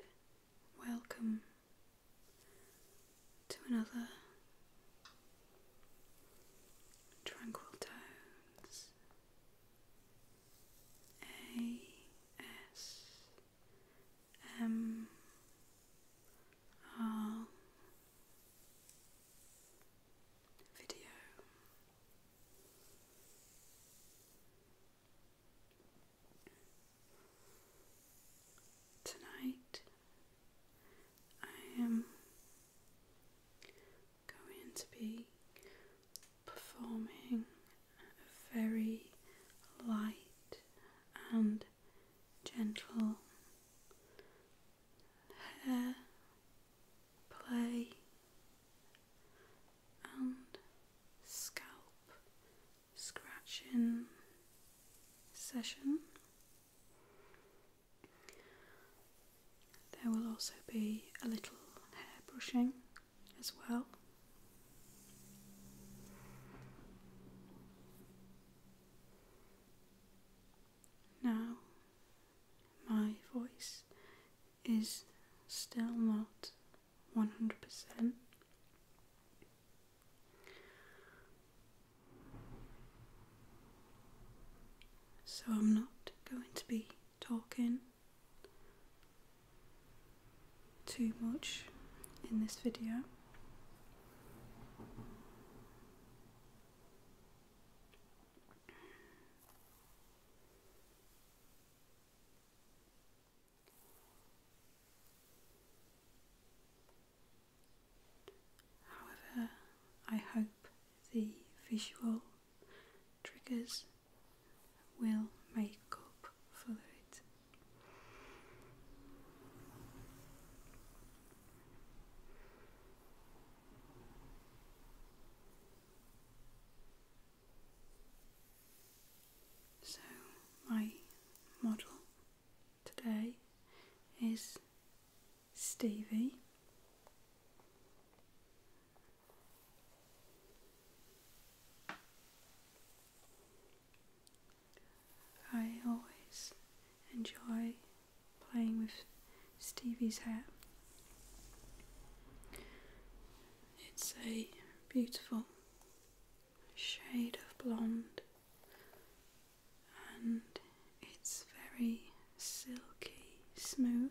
and welcome to another Tranquil Tones ASMR video. Tonight I am going to be performing a very light and gentle hair play and scalp scratching session. There will also be a little hair brushing as well. Now my voice is still not 100%. So I'm not going to be talking too much in this video. However, I hope the visual triggers will make up for it. So, my model today is Stevie. I always enjoy playing with Stevie's hair. It's a beautiful shade of blonde and it's very silky smooth.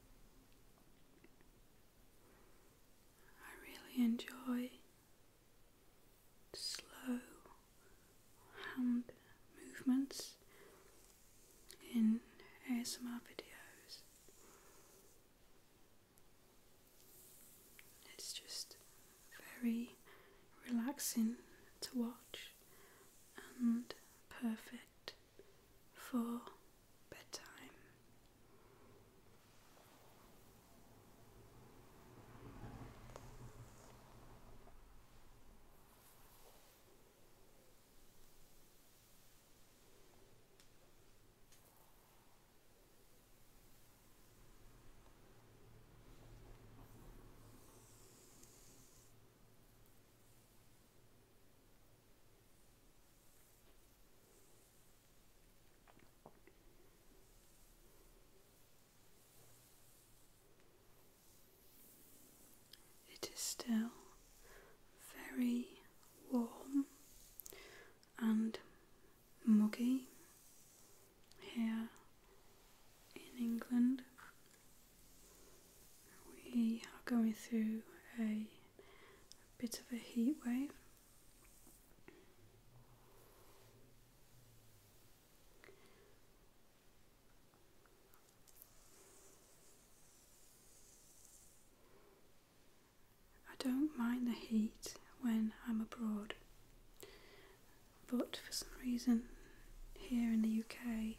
I really enjoy slow hand movements in ASMR videos. It's just very relaxing to watch and perfect for bedtime. It is still very warm and muggy here in England. We are going through a, bit of a heat wave. I don't mind the heat when I'm abroad, but for some reason here in the UK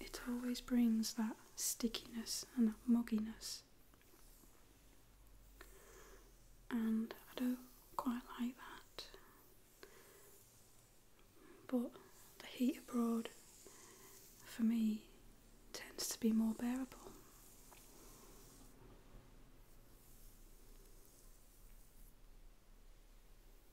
it always brings that stickiness and that mugginess. And I don't quite like that. But the heat abroad for me tends to be more bearable.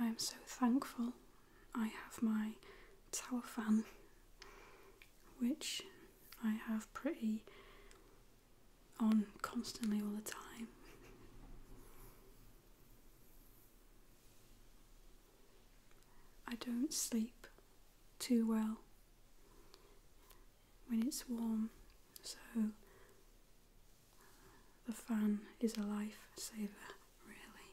I am so thankful I have my tower fan, which I have pretty on constantly all the time. I don't sleep too well when it's warm, so the fan is a lifesaver, really.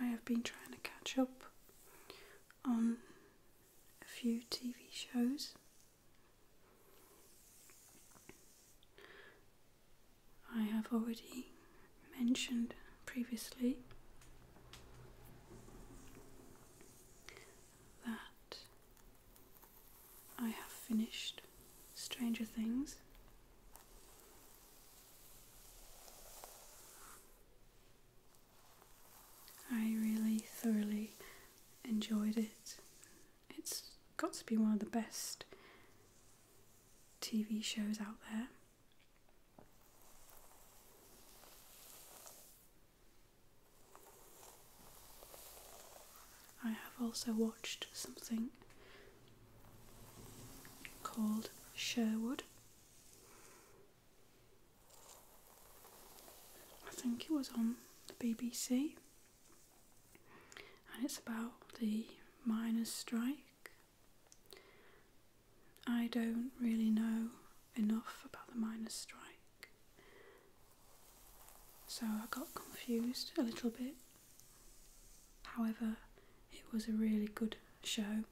I have been trying to catch up on a few TV shows. I have already mentioned previously that I have finished Stranger Things. I really thoroughly enjoyed it it's got to be one of the best TV shows out there. I have also watched something called Sherwood. I think it was on BBC and it's about the miners' strike. I don't really know enough about the miners' strike, so I got confused a little bit. However, it was a really good show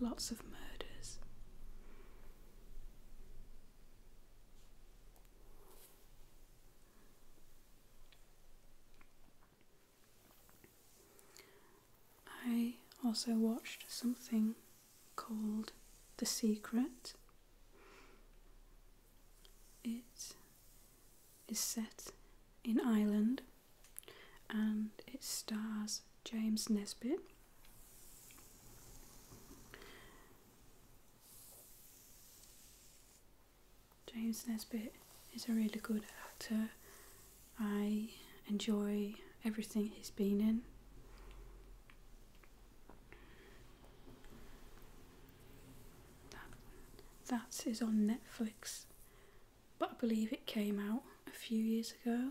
lots of murders. I also watched something called The Secret. It is set in Ireland and it stars James Nesbitt. James Nesbitt is a really good actor. I enjoy everything he's been in. That, that is on Netflix, but I believe it came out a few years ago.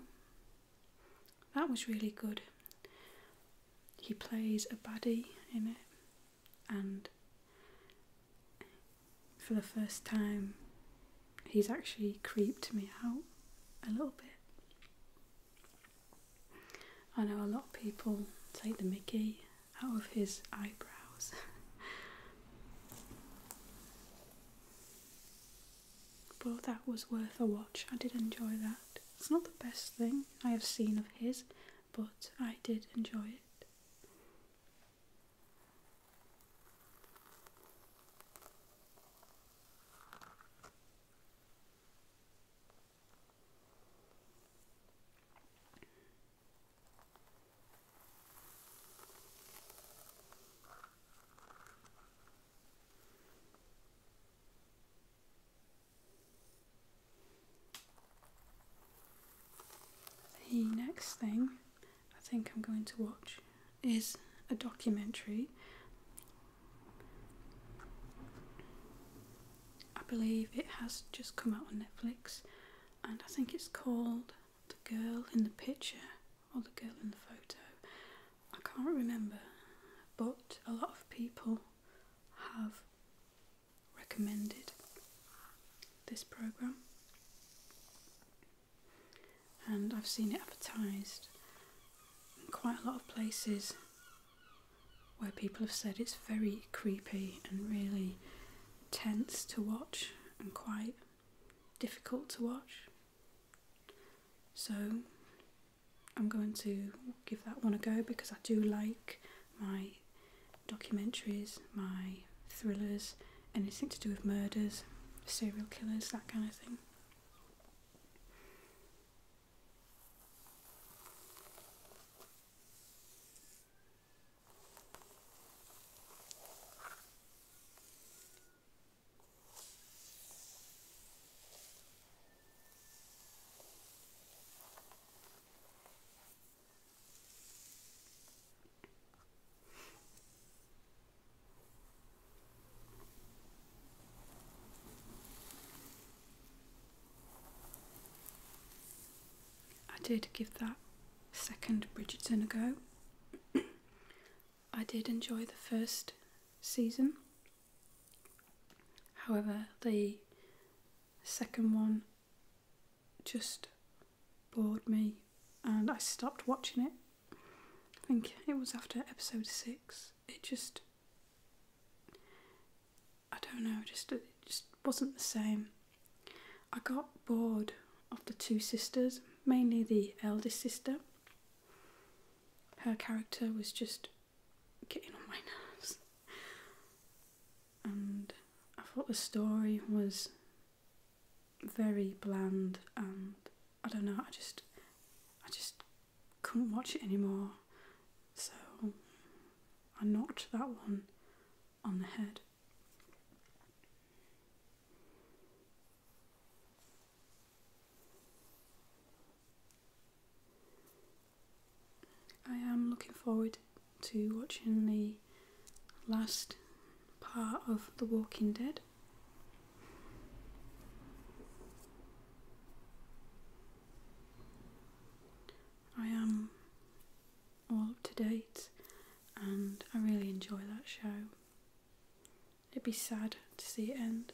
That was really good. He plays a baddie in it, and for the first time, he's actually creeped me out a little bit. I know a lot of people take the mickey out of his eyebrows. but that was worth a watch. I did enjoy that. It's not the best thing I have seen of his, but I did enjoy it. The next thing I think I'm going to watch is a documentary. I believe it has just come out on Netflix and I think it's called The Girl in the Picture or the girl in the photo, I can't remember, but a lot of people have recommended this program and I've seen it advertised in quite a lot of places where people have said it's very creepy and really tense to watch and quite difficult to watch. So I'm going to give that one a go because I do like my documentaries, my thrillers, anything to do with murders, serial killers, that kind of thing. I did give that second Bridgerton a go. I did enjoy the first season. However, the second one just bored me and I stopped watching it. I think it was after episode six. It just, I don't know, just it just wasn't the same. I got bored of the two sisters, mainly the eldest sister, her character was just getting on my nerves. And I thought the story was very bland and I don't know, I just I just couldn't watch it anymore. So I knocked that one on the head. I am looking forward to watching the last part of The Walking Dead. I am all up to date and I really enjoy that show. It'd be sad to see it end.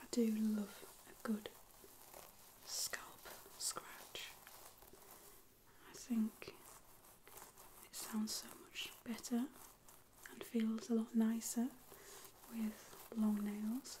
I do love a good scalp scratch. I think it sounds so much better and feels a lot nicer with long nails.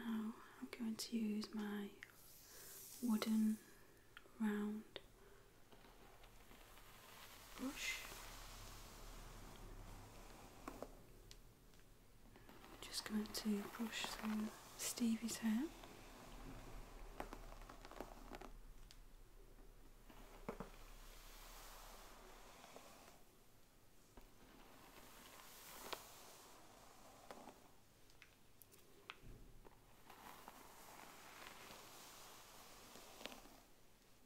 Now I'm going to use my wooden round brush I'm just going to brush through Stevie's hair.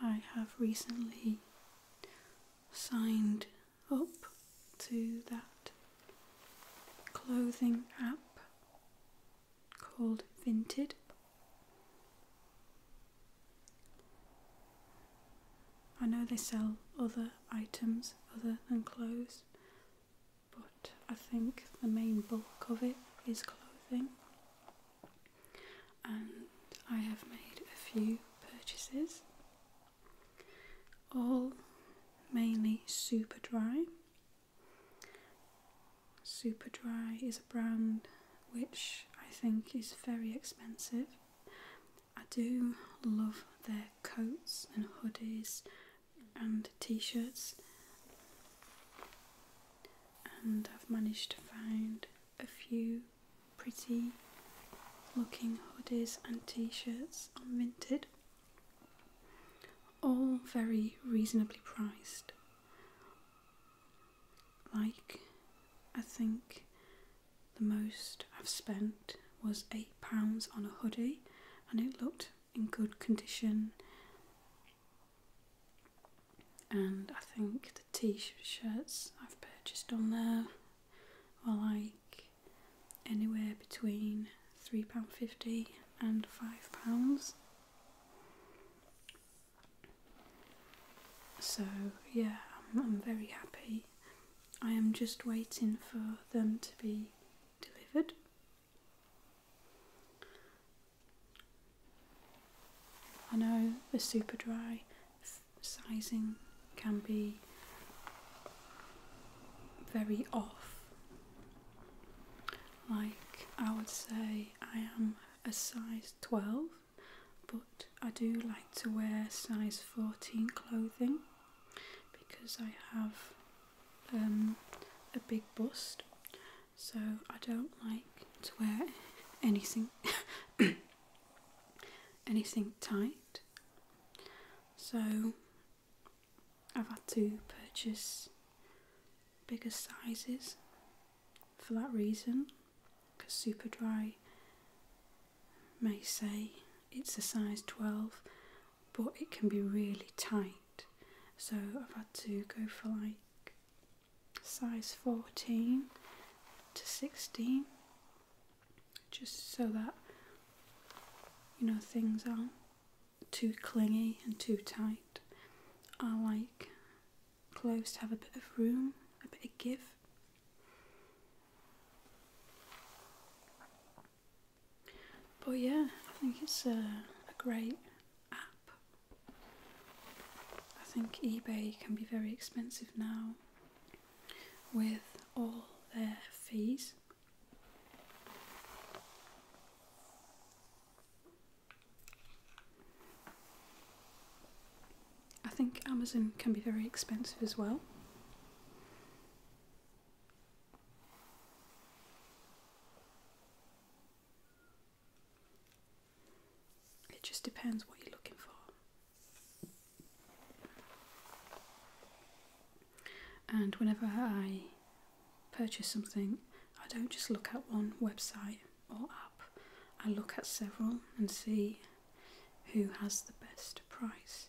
I have recently signed up to that clothing app called Vinted. I know they sell other items other than clothes, but I think the main bulk of it is clothing. And I have made a few purchases, all mainly super dry. Super dry is a brand which I think is very expensive. I do love their coats and hoodies and t-shirts and I've managed to find a few pretty looking hoodies and t-shirts on Vinted all very reasonably priced like I think the most I've spent was £8 on a hoodie and it looked in good condition. And I think the t shirts I've purchased on there are like anywhere between £3.50 and £5. So, yeah, I'm, very happy. I am just waiting for them to be delivered. I know the super dry sizing can be very off. Like, I would say I am a size 12, but I do like to wear size 14 clothing because I have um, a big bust, so I don't like to wear anything anything tight. So I've had to purchase bigger sizes for that reason because Superdry may say it's a size 12 but it can be really tight. So I've had to go for like size 14 to 16 just so that you know things aren't too clingy and too tight. I like clothes to have a bit of room, a bit of give. But yeah, I think it's a, great app. I think eBay can be very expensive now with all their fees. I think Amazon can be very expensive as well. It just depends what you're looking for. And whenever I purchase something, I don't just look at one website or app, I look at several and see who has the best price.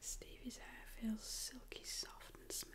Stevie's hair feels silky soft and smooth.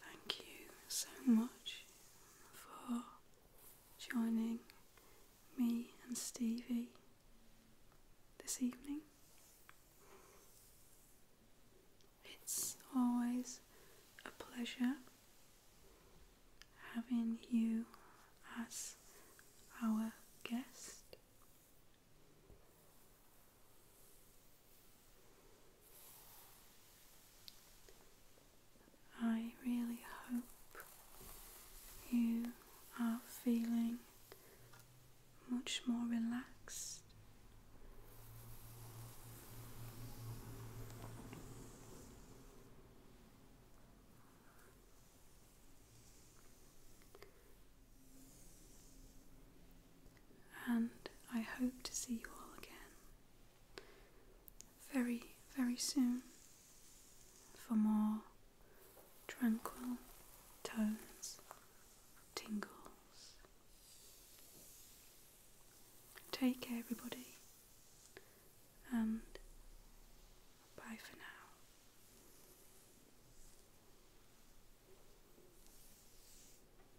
Thank you so much for joining me and Stevie this evening. It's always a pleasure having you as our guest. I really hope you are feeling much more relaxed. And I hope to see you all again very, very soon for more tranquil tones, tingles. Take care, everybody, and bye for now.